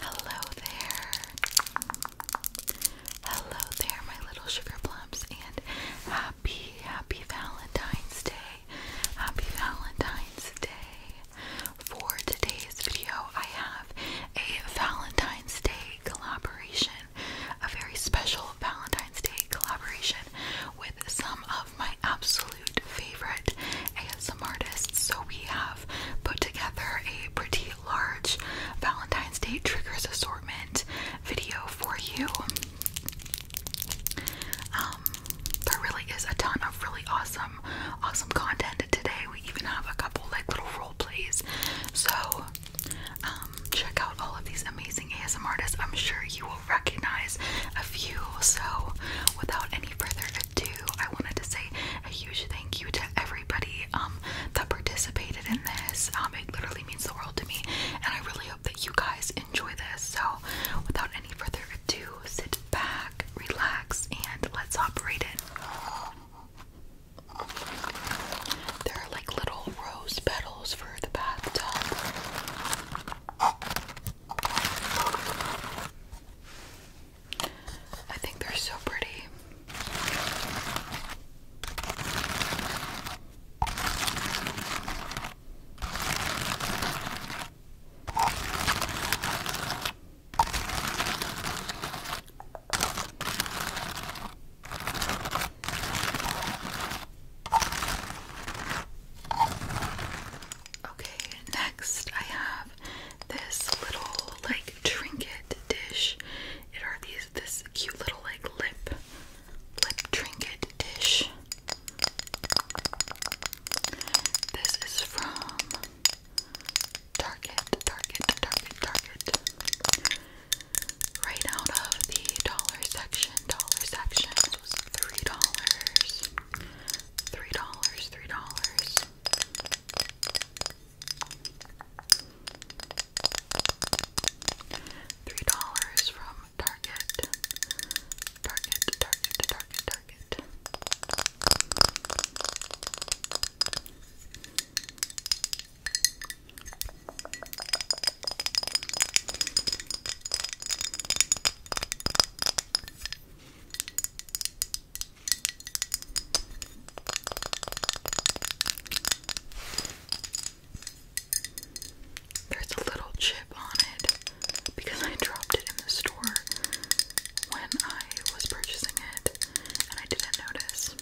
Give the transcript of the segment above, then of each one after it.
Hello there. Hello there, my little sugar plums, and happy, happy Valentine's Day. Happy Valentine's Day. For today's video, I have a Valentine's Day collaboration, a very special Valentine's Day collaboration with some of my absolute favorite ASM artists. So we have put together a pretty large Valentine's Day triggers assortment video for you. Um, there really is a ton of really awesome, awesome content today. We even have a couple like little role plays. So, um, check out all of these amazing ASM artists. I'm sure you will recognize a few. So, without any further ado, I wanted to say a huge thank you to everybody um, that participated in this. Um, it literally means the world to me, and I really hope that you guys enjoy this. So, without any further ado, sit back, relax, and let's operate it. There are like little rose petals for the bathtub. I think they're so pretty. Okay, next I have this little like trinket dish. It are these this cute little like lip lip trinket dish. This is from Target, Target, Target, Target. Right out of the dollar section, dollar section three dollars. Three dollars, three dollars. Three dollars from Target. Target, Target, Target, Target. There's a little chip on it because I dropped it in the store when I was purchasing it and I didn't notice.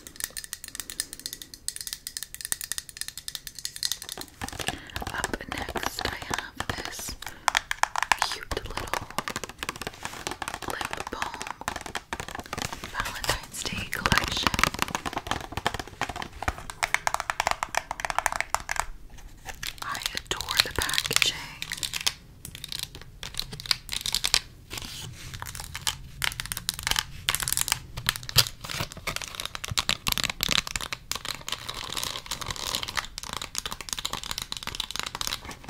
Up next, I have this cute little Lip Balm Valentine's Day Collection. I adore the packaging. And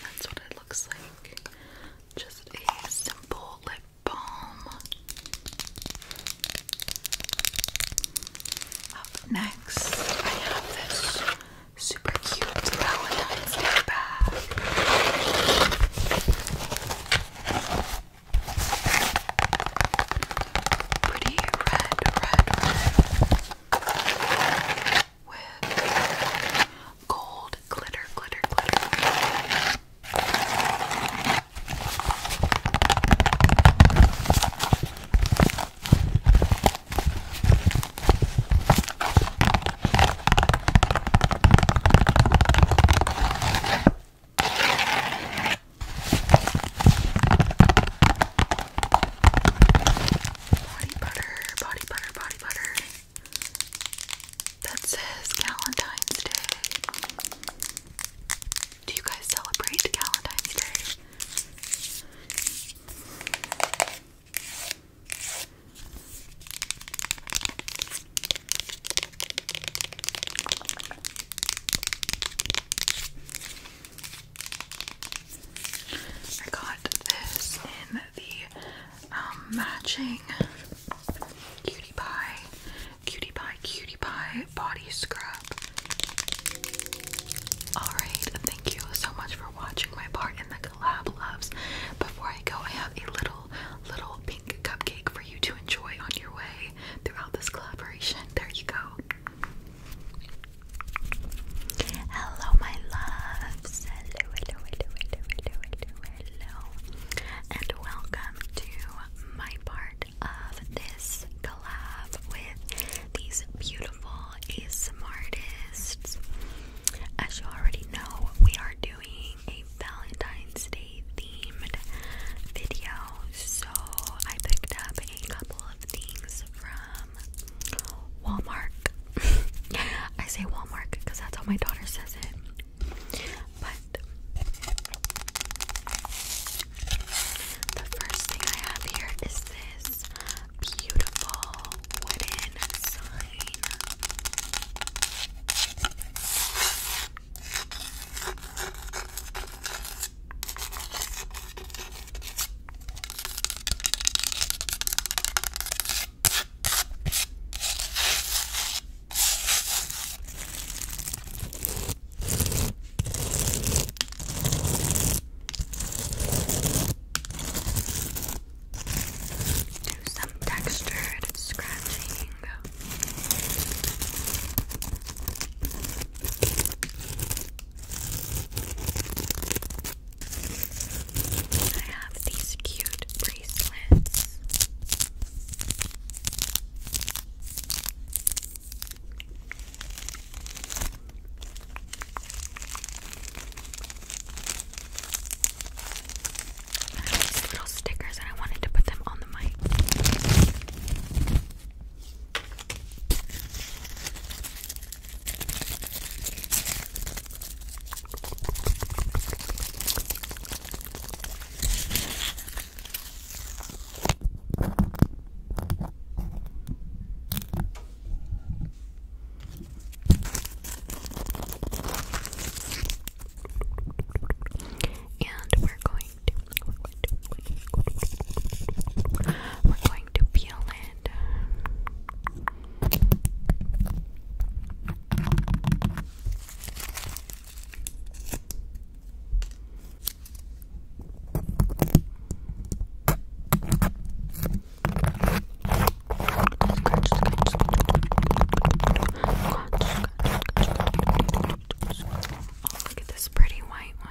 that's what it looks like. Just a simple lip balm. Up next, I have this super cute Valentine's Day bag. Pretty red, red, red. With gold glitter, glitter, glitter. Body butter, body butter, body butter. That says Valentine's Day. Do you guys celebrate Valentine's Day? I got this in the um, matching cutie pie Cutie Pie Cutie Pie Body Scrub. Alright, thank you so much for watching my part in the collab loves. Before I go, I have a little, little pink cupcake for you to enjoy on your way throughout this collaboration. There you go. Hello, my loves. Hello, hello, hello, hello, hello, hello, hello. And welcome to my part of this collab with these beautiful artists, As you already know, we are doing a Valentine's Day themed video, so I picked up a couple of things from Walmart. I say Walmart because that's how my daughter says it. But the first thing I have here is this beautiful wooden sign. Do some textured scratching. I have these cute bracelets. I little stickers and I wanted to put them on the mic. And we're going to we're going to we're going to, peel it. Oh, look at this pretty white one.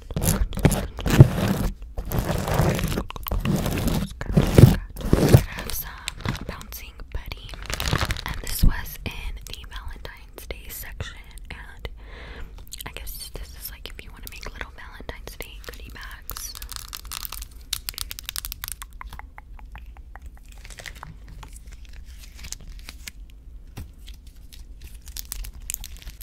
I have some bouncing buddy, and this was in the Valentine's Day section. And I guess this is like if you want to make little Valentine's Day goodie bags.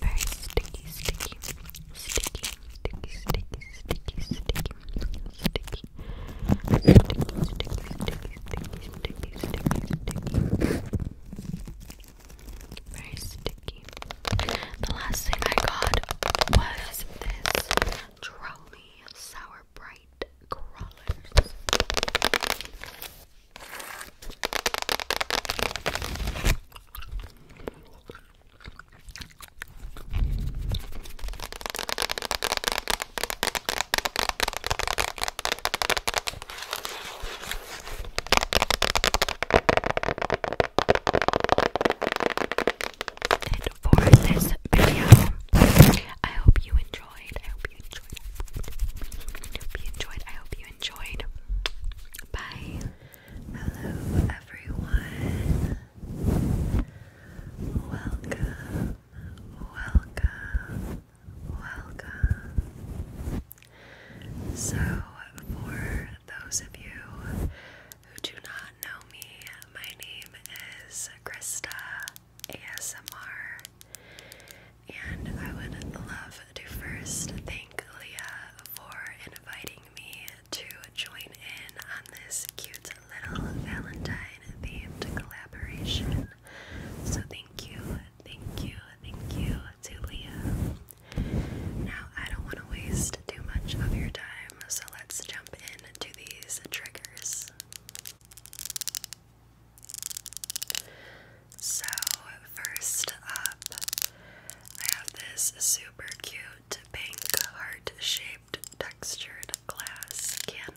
Very sticky, sticky, sticky, sticky, sticky, sticky, sticky, sticky, sticky, sticky, sticky, sticky, sticky, sticky. Very sticky. The last thing I got was this Trolley Sour Bright Crawlers it for this video. I hope you enjoyed. I hope you enjoyed. I hope you enjoyed. I hope you enjoyed enjoyed. Bye. Hello, everyone. Welcome, welcome, welcome. So, for those of you who do not know me, my name is Krista ASMR and I would love to first thank Leah for inviting me to join in on this cute little Valentine themed collaboration. So, thank you, thank you, thank you to Leah. Now, I don't want to waste too much of your time, so let's jump into these triggers. So, first up, I have this super cute pink heart shaped textured glass candle.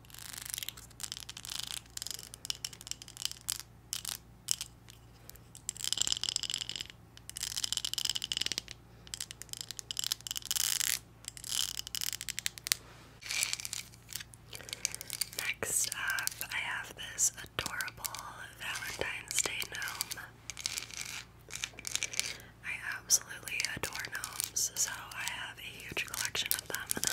Next up, I have this adorable Valentine's Day gnome. I absolutely adore gnomes, so I have a huge collection of them.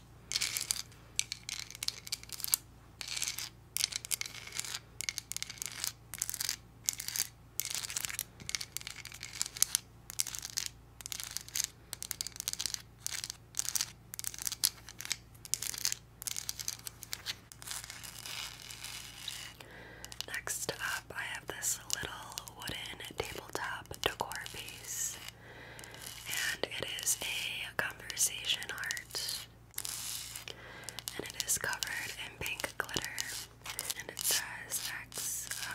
Next up, I have this little wooden tabletop decor piece and it is a conversation art. And it is covered in pink glitter. And it says XOXO.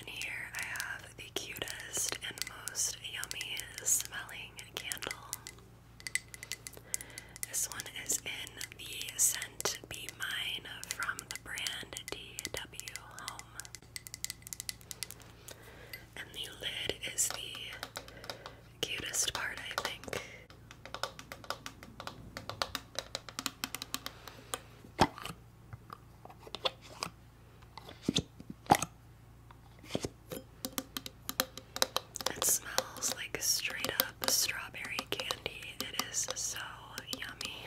And here I have the cutest and most yummy smelling candle. This one is in the scent Be Mine from the brand DW Home. And the lid is the cutest part, I think. It smells like straight up strawberry candy. It is so yummy.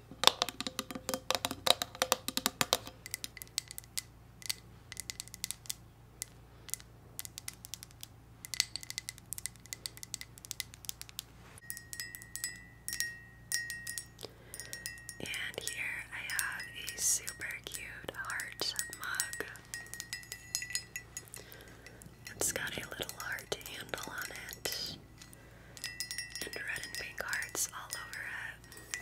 And here I have a super cute heart mug. It's got a little heart handle on it, and red and pink hearts all over it.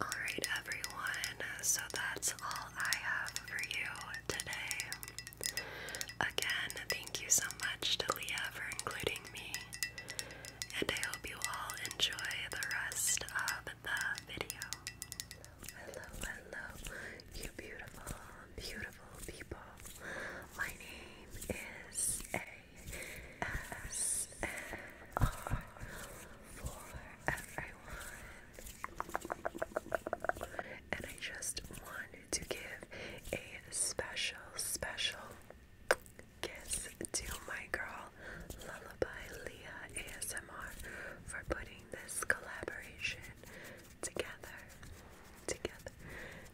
Alright, everyone, so that's all I have for you today. Again, thank you so much to Leah for including me, and I hope you all enjoy the rest of the video. Hello, hello, you beautiful, beautiful people. My name is ASMR for everyone. And I just want to give a special, special kiss to my girl Lullaby Leah ASMR for putting this collaboration together. Together,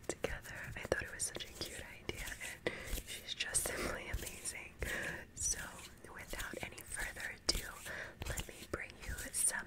together. I thought it was such a cute idea, and she's just simply amazing. So, without any further ado, let me bring you some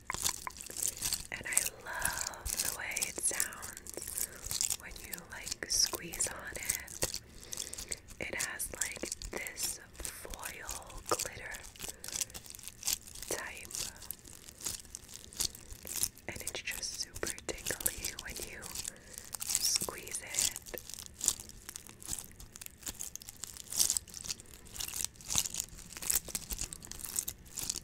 And I love the way it sounds when you like squeeze on it. It has like this foil glitter type. And it's just super tingly when you squeeze it.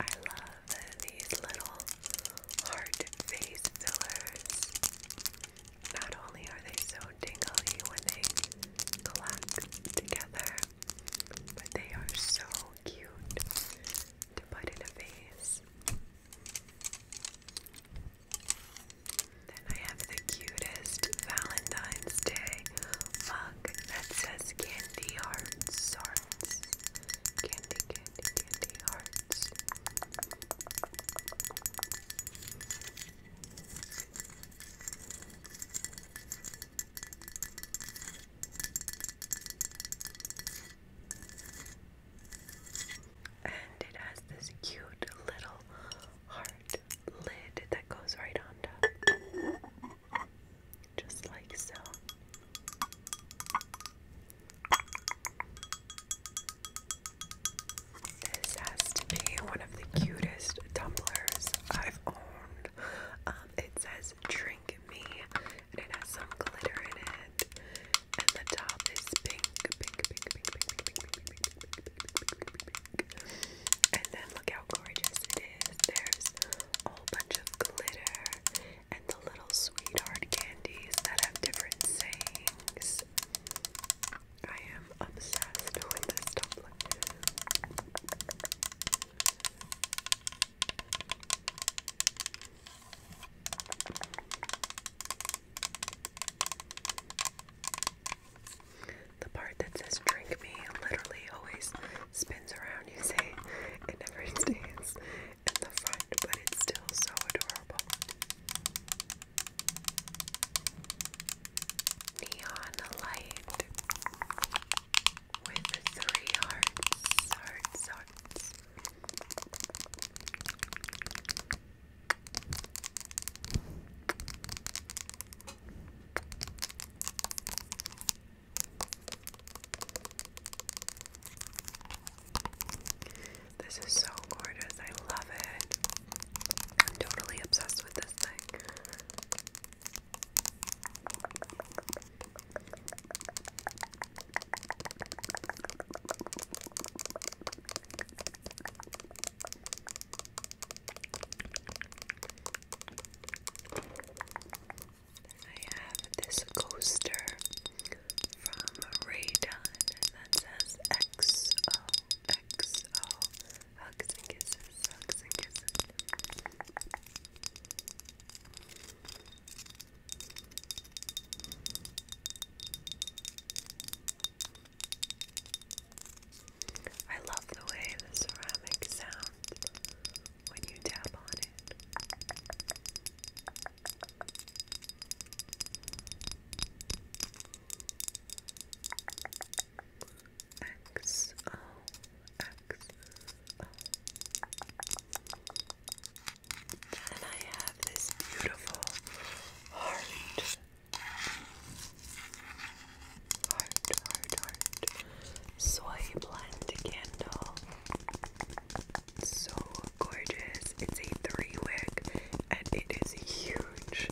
I love these little heart face fillers. Not only are they so tingly when they clack together, but they are so cute to put in a vase. Then I have the cutest Valentine's Day mug that says candy hearts, hearts, candy, candy, candy hearts. And it has this cute little heart lid that goes right on top. Just like so. This has to be one of the cutest tumblers I've owned. it says Drink Me, and it has some glitter in it. And the top is pink, pink, pink, pink, pink, pink, pink, pink, pink, pink, pink, and then look how gorgeous it is. There's a whole bunch of glitter and the little sweetheart candies that have different sayings. I am obsessed with this tumbler the part that says drink me literally always spins around, you say It never stays in the front, but it's still so adorable. Neon light with three hearts. This is so gorgeous. I love it. I'm totally obsessed with this thing. I have this coaster from Raydon that says XO, hugs and kisses, hugs and kisses. I love the way the ceramic sounds when you tap on it. X O X O. And I have this beautiful heart Heart, heart, heart. Soy blend candle. So gorgeous. It's a three wick and it is huge.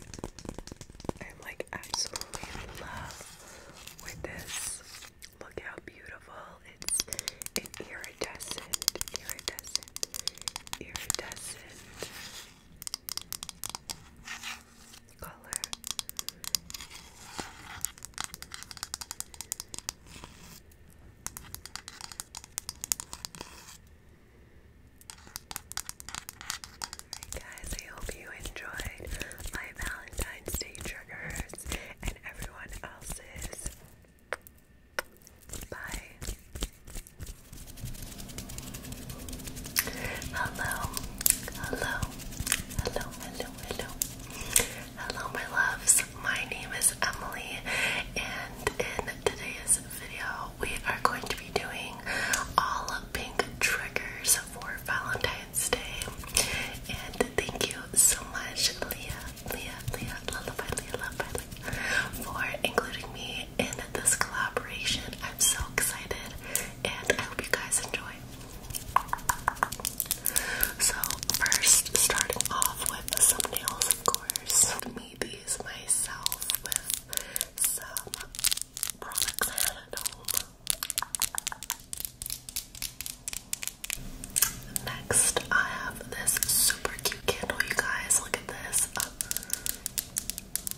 I'm like absolutely in love with this. Look how beautiful. It's an iridescent, iridescent, iridescent color. guys, I hope you enjoyed my Valentine's Day triggers and everyone else's. Bye. Hello, hello, hello, hello, hello. Hello, my loves. My name is Emily, and in today's video, we are going to be doing all pink triggers for Valentine's Day. And thank you so much, Leah, Leah, Leah, Lullaby, Leah, Lullaby, Leah, for including me in this collaboration. I'm so excited and I hope you guys enjoy. So, first, starting off with some nails, of course. made these myself with some products I had at home. Next, I have this super cute candle, you guys. Look at this.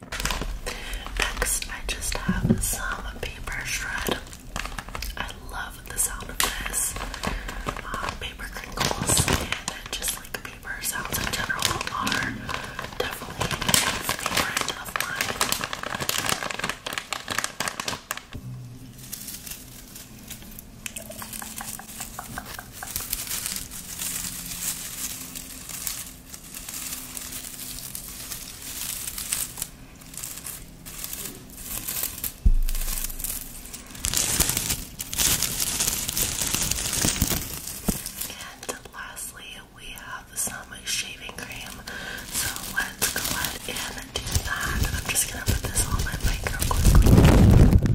Next, I just have some paper shred. I love the sound of this. Uh, paper crinkles and just like paper sounds in general are definitely a favorite of mine. And lastly, we have some shaving cream. So let's go ahead and do that. I'm just gonna put this on my mic real quickly.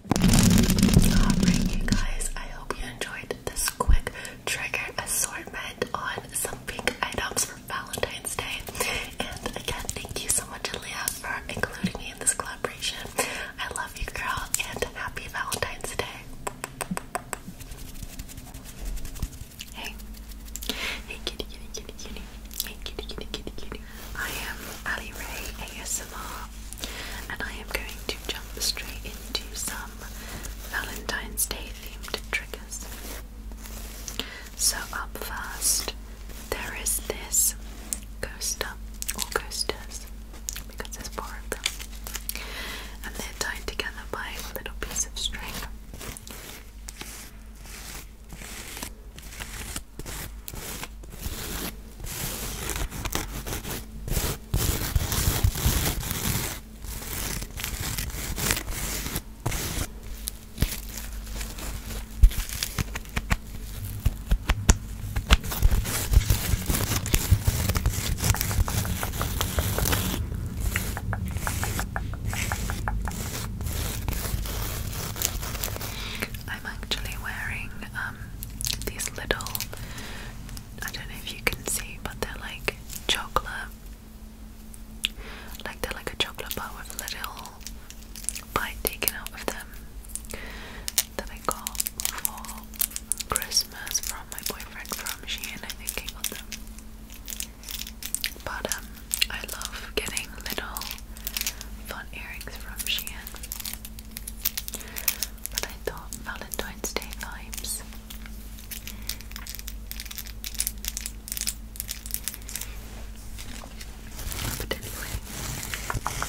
heartbreaking, guys. I hope you enjoyed this quick trigger assortment on some pink items for Valentine's Day. And again, thank you so much, Aaliyah, for including me in this collaboration. I love you, girl, and happy Valentine's Day. Hey, hey, kitty, kitty, kitty, kitty, hey, kitty, kitty, kitty, kitty. I am Ali Ray ASMR and I am going to jump straight into some Valentine's Day themed triggers. So, up first, there is this coaster or coasters because there's four of them, and they're tied together by a little piece of string. I'm actually wearing um, these little I don't know if you can see, but they're like chocolate. Like they're like a chocolate bar with a little bite taken out of them that I got for Christmas from my boyfriend from Shein. I think he got them. But um, I love getting little fun earrings from Shein but I thought Valentine's Day vibes. But the, back the.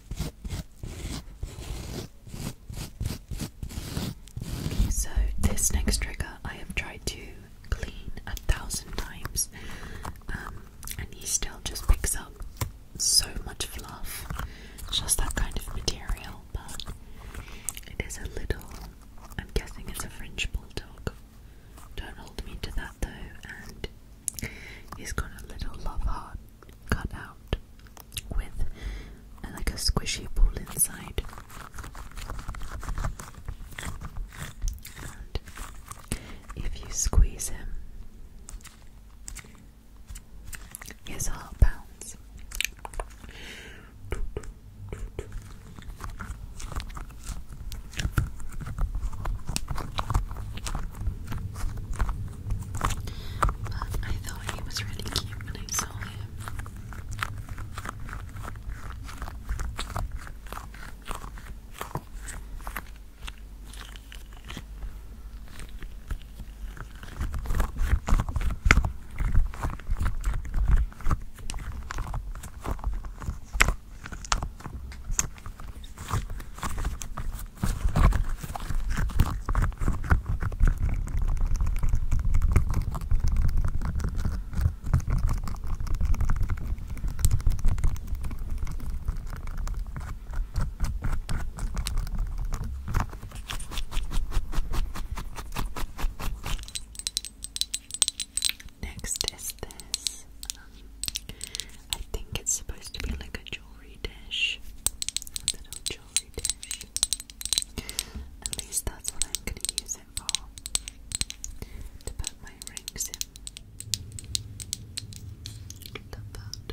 so this next trigger I have tried to clean a thousand times, um, and he still just picks up so much fluff, just that kind of material. But it is a little, I'm guessing it's a French bulldog. Don't hold me to that though, and he's got a little love heart cut out with uh, like a squishy ball inside. And if you squeeze him, his heart pounds. But I thought he was really cute when I saw him. Next is this. Um, I think it's supposed to be like a jewelry dish. little jewelry dish. At least that's what I'm going to use it for. To put my rings in. Love that.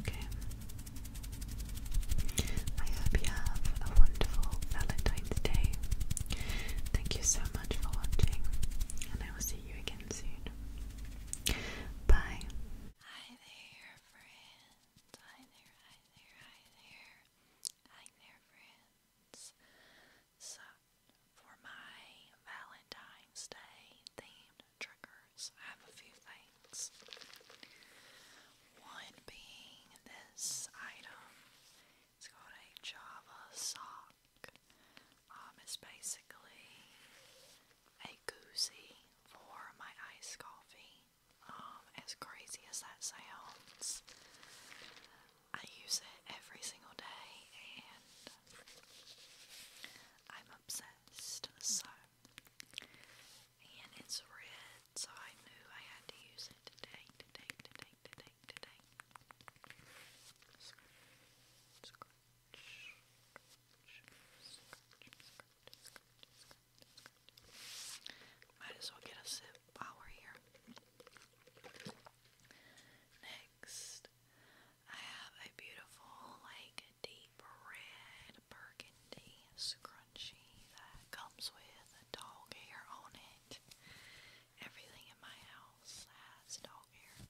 Okay. I hope you have a wonderful Valentine's Day. Thank you so much for watching, and I will see you again soon. Bye. Hi there, friend. Hi there, hi there, hi there. Hi there, friends. So, for my Valentine's Day themed triggers, I have a few things. One being this item. It's called a Java sock. Um, it's basically a goosey for my iced coffee. Um, as crazy as that sounds, I use it every single day and I'm obsessed. So, and it's red, so I knew I had to use it today, might as well get a sip while we're here. Next, I have a beautiful, like, deep red burgundy scrunchie that comes with a dog hair on it. Everything in my house has dog hair.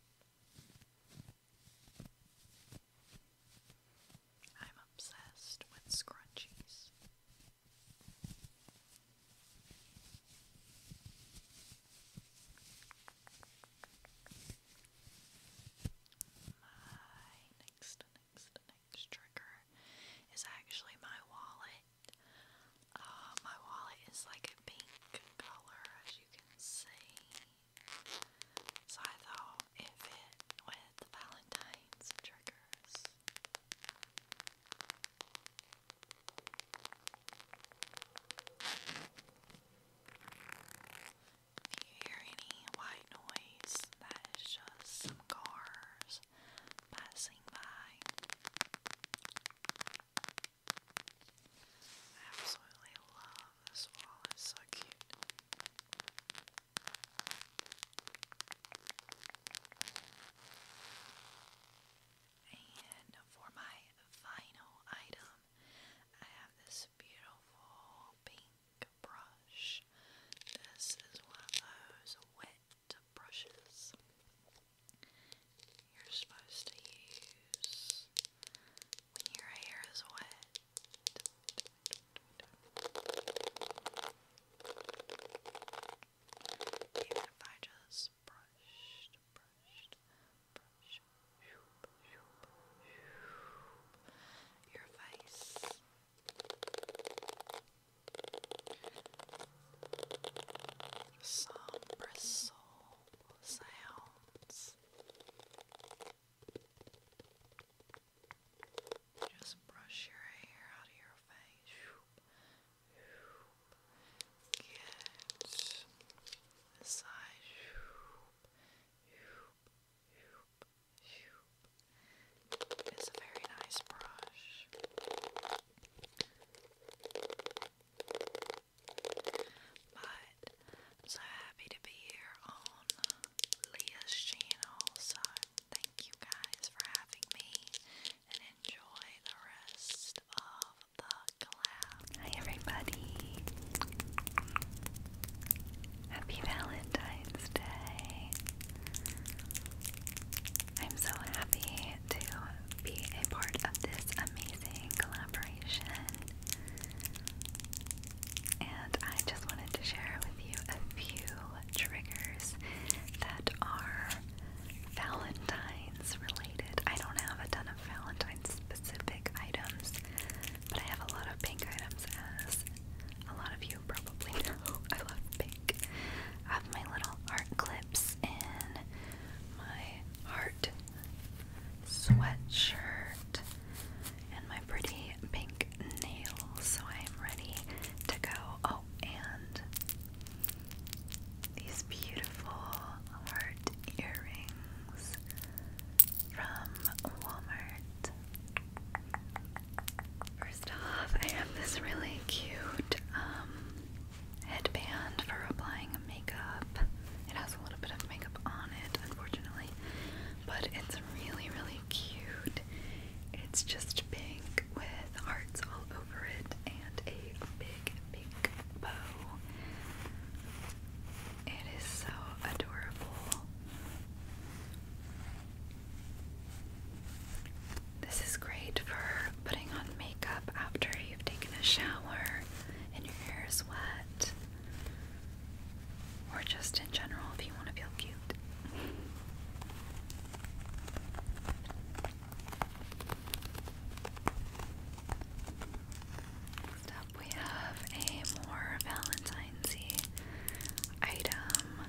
I'm obsessed with scrunchies. My next, next, next trigger is actually my wallet. Uh, my wallet is like a pink color, as you can see. So I thought it fit the Valentine's triggers. If you hear any white noise, that is just some cars passing by. I absolutely love this wall, it's so cute. And for my final item, I have this beautiful pink brush. This is one of those wet brushes. You're supposed to use when your hair is wet. Even if I just brushed, brushed, brushed, your face. Some bristle sounds. Just brush your hair out of your face. this side. It's a very nice brush. But I'm so happy to be here on Leah's channel, so Thank you guys for having me and enjoy the rest of the collab. Hi, everybody. Happy Valentine's Day. I'm so happy to be a part of this amazing collaboration. And I just wanted to share with you a few triggers that are Valentine's related. I don't have a ton of Valentine specific items, but I have a lot of pink items as a lot of you probably know. I love pink. I have my little art clips and my heart sweatshirt and my pretty pink nails, so I am ready to go. Oh, and these beautiful heart earrings from Walmart. First off, I have this really cute um, headband for applying makeup. It has a little bit of makeup on it, unfortunately, but it's really, really cute. It's just pink with hearts all over it and a big pink bow. It is so adorable. This is great for putting on makeup after you've taken a shower and your hair is wet, or just in general if you want to feel cute. Next up, we have a more Valentine's item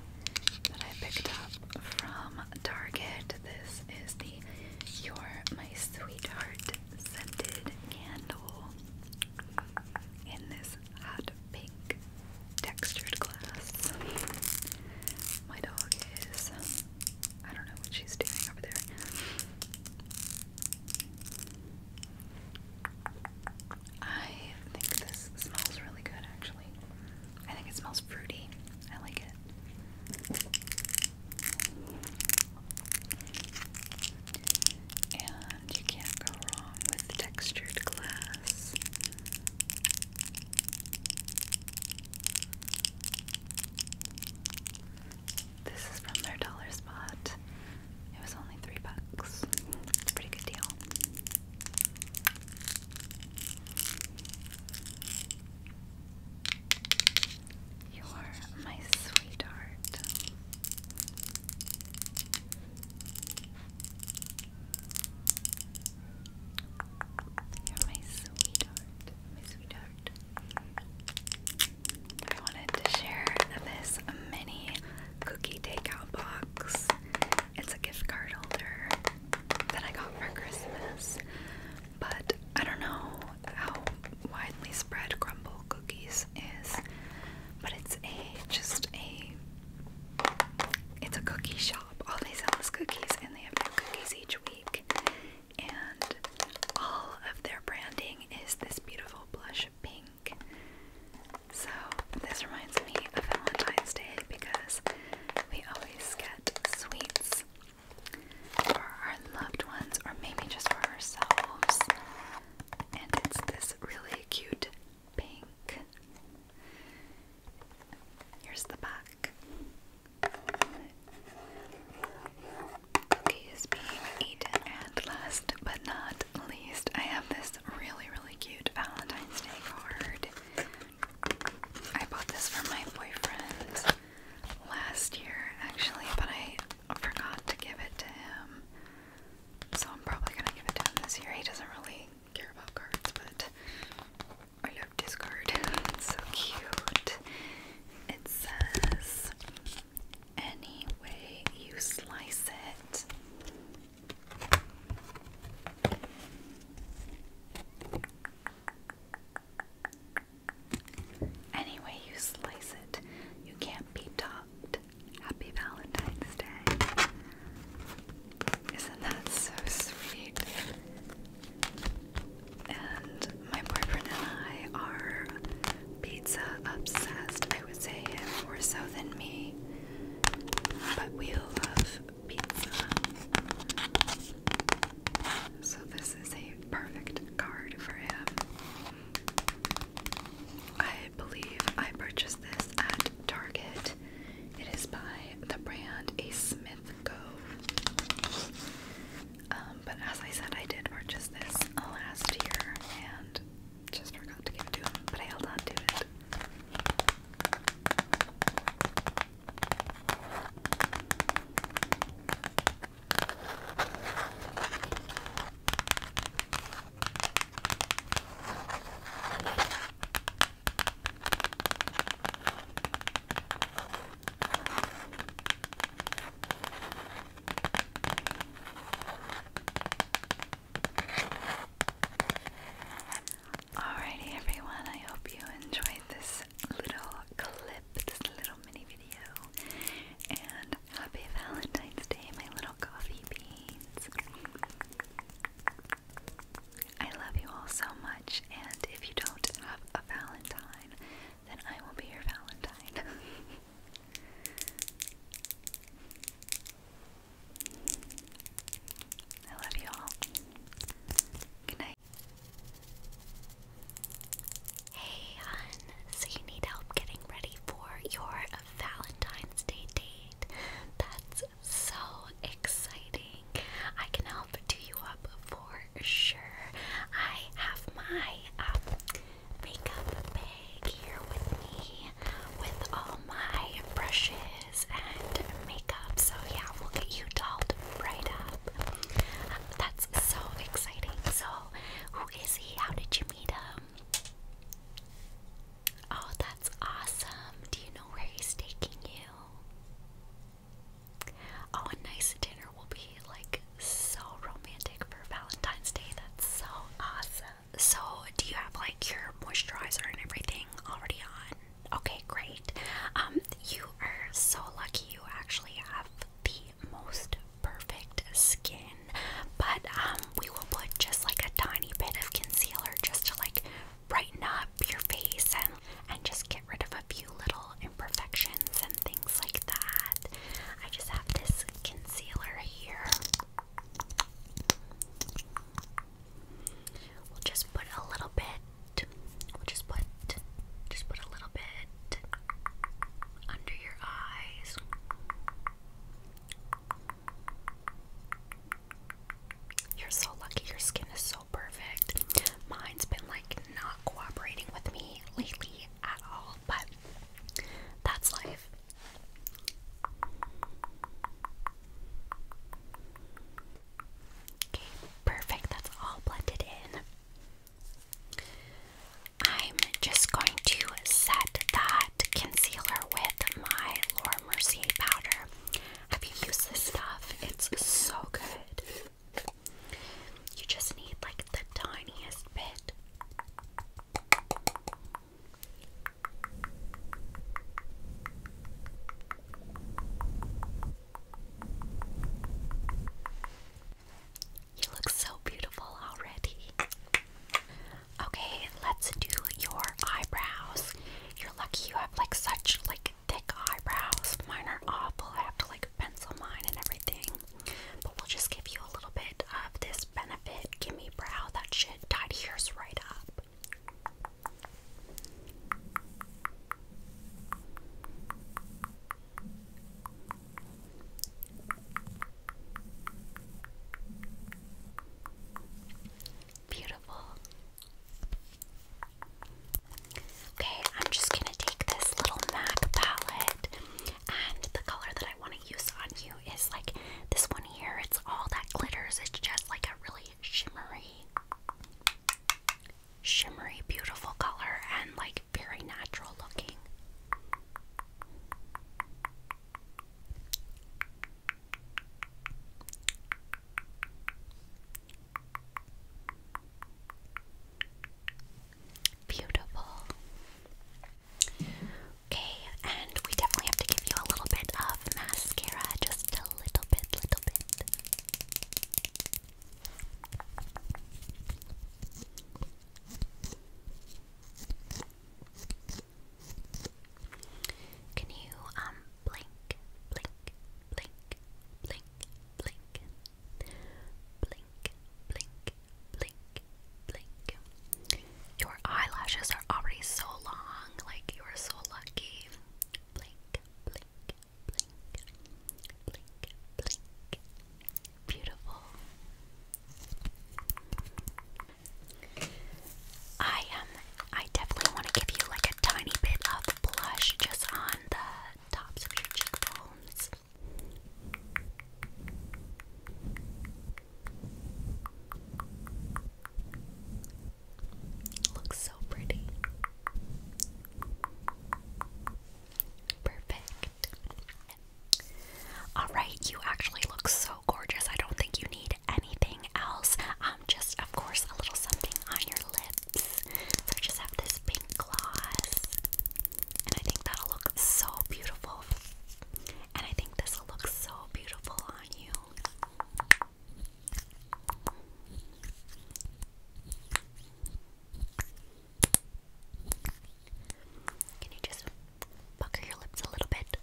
that I picked up from Target. This is the You're My Sweetheart scented candle in this hot pink textured glass. My dog is. I don't know what she's doing over there. I think this smells really good actually. I think it smells fruity. I like it. And you can't go wrong with textured glass. This is from their dollar spot. It was only three bucks. It's a pretty good deal. You're my sweetheart. You're my sweetheart. My sweetheart. I wanted to share this mini cookie takeout box. It's a gift card holder that I got for Christmas. But I don't know how widely spread crumble cookies is. But it's a just a it's a cookie shop all these sell cookies, and they have new cookies each week. And all of their branding is this beautiful blush pink. So, this reminds me of Valentine's Day because we always get sweets for our loved ones or maybe just for ourselves. And it's this really cute pink. Here's the back. Cookie is being eaten, and last but not least, I have this really, really cute Valentine's Day card. I bought this for my boyfriend last year, actually, but I forgot to give it to him. So I'm probably gonna give it to him this year. He doesn't really care about cards, but I love this card. so cute. It says, any way you slice it. Any way you slice it, you can't be topped. Happy Valentine's Day. Isn't that so sweet? And my boyfriend and I are pizza obsessed. I would say him more so than me. But we love pizza. So this is a perfect card for him. I believe I purchased this at Target it is by the brand A Smith Co. Um, but as I said, I did purchase this last year and just forgot to give to him, but I held on to it. Alrighty, everyone, I hope you enjoyed this little clip, this little mini video, and happy Valentine's Day, my little coffee beans. I love you all so much, and if you don't have a Valentine, then I will be your Valentine. I love you all. Good night. Hey, hun. So, you need help getting ready for your Valentine's Day date? That's so exciting. I can help do you up for sure. I have my um, makeup bag here with me with all my brushes and makeup. So, yeah, we'll get you dolled right up. that's so exciting. So, who is he? How did you meet him? Oh, that's awesome. Do you know where he's taking you? Oh, a nice dinner will be like so romantic for Valentine's Day. That's so awesome. So, do you have like your moisturizer and everything already on? Okay, great. Um, you are so lucky. You actually have the most perfect skin. But um, we will put just like a tiny bit of concealer just to like brighten up your face and and just get rid of a few little imperfections and things like that. I just have this concealer here. We'll just put a little bit. We'll just put just put a little bit under your eyes. You're so lucky your skin is so perfect. Mine's been like not cooperating with me lately at all, but that's life. Okay, perfect. That's all blended in. I'm just going to set that concealer with my Laura Mercier powder. Have you used this stuff? It's so good. You just need like the tiniest bit. You look so beautiful already. Okay, let's do your eyebrows. You're lucky you have like such like thick eyebrows. Mine are awful. I have to like pencil mine and everything. But we'll just give you a little bit of this Benefit Gimme Brow that should tidy yours right up. Beautiful. Okay, I'm just gonna take this little MAC palette, and the color that I want to use on you is like this one here. It's all that glitters, it's just like a really shimmery, shimmery, beautiful color, and like very natural looking. Beautiful. Okay, and we definitely have to give you a little bit of mascara, just a little bit, little bit. Can you um blink, blink, blink, blink, blink, blink, blink, blink, blink. Your eyelashes are already so long, like you are so lucky. Blink, blink, blink, blink, blink. Beautiful. I am I definitely want to give you like a tiny bit of blush just on the tops of your cheekbones. Looks so pretty. Perfect. Alright, you actually look so gorgeous. I don't think you need anything else. Um, just of course a little something on your lip. So I just have this pink gloss, and I think that'll look so beautiful. And I think this will look so beautiful on you. Can you just pucker your lips a little bit?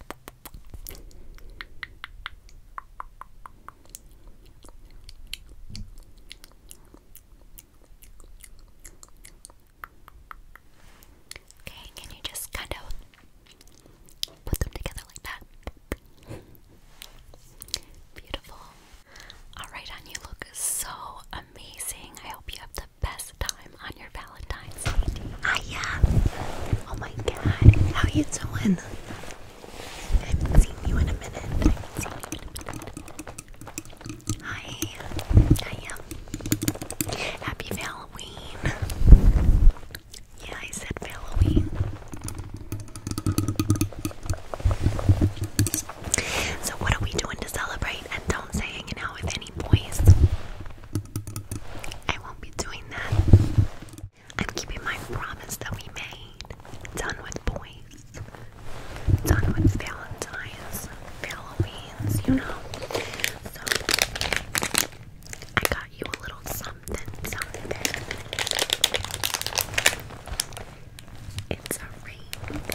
Okay, can you just kind of put them together like that? Beautiful. Alright, on you look so amazing. I hope you have the best time on your Valentine's Day. Hiya! Ah, oh my god, how you doing? I haven't you in a minute. I have Happy Halloween. Yeah, I said Halloween. So what are we doing to celebrate? And don't say hanging out with any boys. I won't be doing that. I'm keeping my promise that we made. Done with boys. Done with Valentine's, Halloween's, you know. So I got you a little something, It's a ring.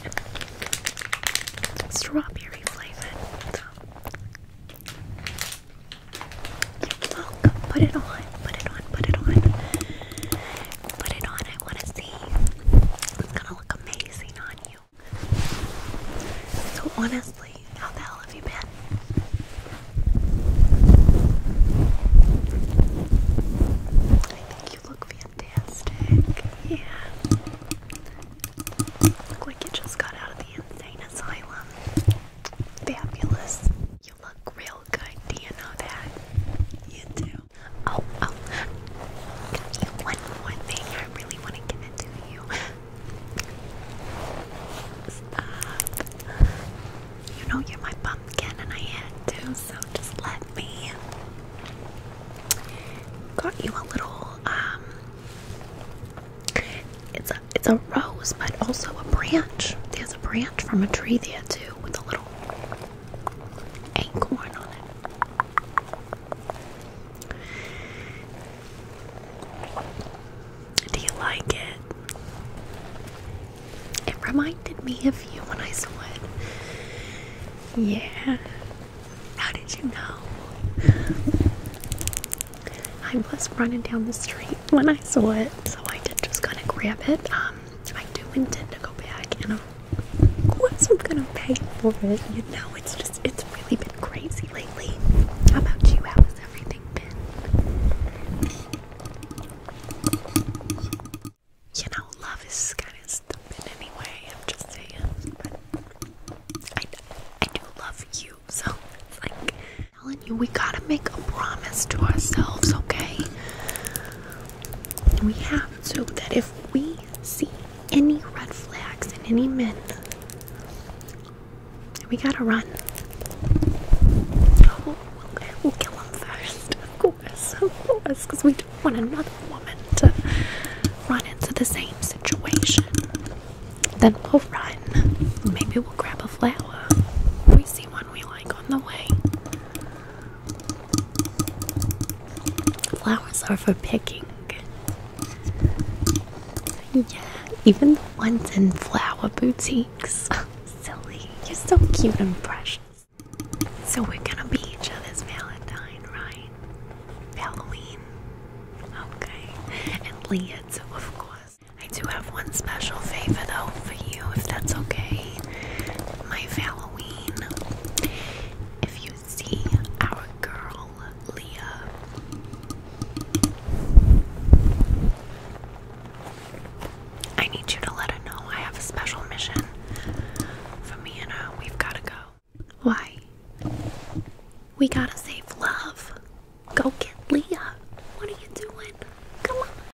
strawberry flavored put it on, put it on, put it on. Put it on, I want to see. It's gonna look amazing on you. So, honestly, how the hell have you been? I think you look fantastic. Yeah. Look like you just got out of the insane asylum. Fabulous. You look real good. Do you know that? You do. Oh, oh. Got one thing. I really want to give it you. You know you're my pumpkin, and I had to, so just let me. Got you a little um. It's a it's a rose, but also a branch. There's a branch from a tree there too, with a little acorn on it. Do you like it? It reminded me of you when I saw it. Yeah. How did you know? I was running down the street when I saw it, so I did just kind of grab it. Um, I do intend to go back, and of course I'm gonna pay for it. You know, it's just it's really been crazy lately. How about you? How has everything been? You know, love is kind of stupid anyway. I'm just saying, I I do love you, so it's like we gotta make a promise to ourselves, okay? We have to, that if we see any red flags in any men, we gotta run. Oh, we'll kill them first, of course, of course, because we don't want another woman to run into the same situation. Then we'll run. Maybe we'll grab a flower. We see one we like on the way. Flowers are for picking. Yeah, even the ones in flower boutiques. Silly, you're so cute and precious. So we're gonna be each other's Valentine, right? Halloween. Okay. And Leah of course. I do have one special favor though for you, if that's okay. My Halloween. If you see our girl Leah, I need you to let her know I have a special mission for me and her. We've gotta go. Why? We gotta save love. Go get Leah. What are you doing? Come on.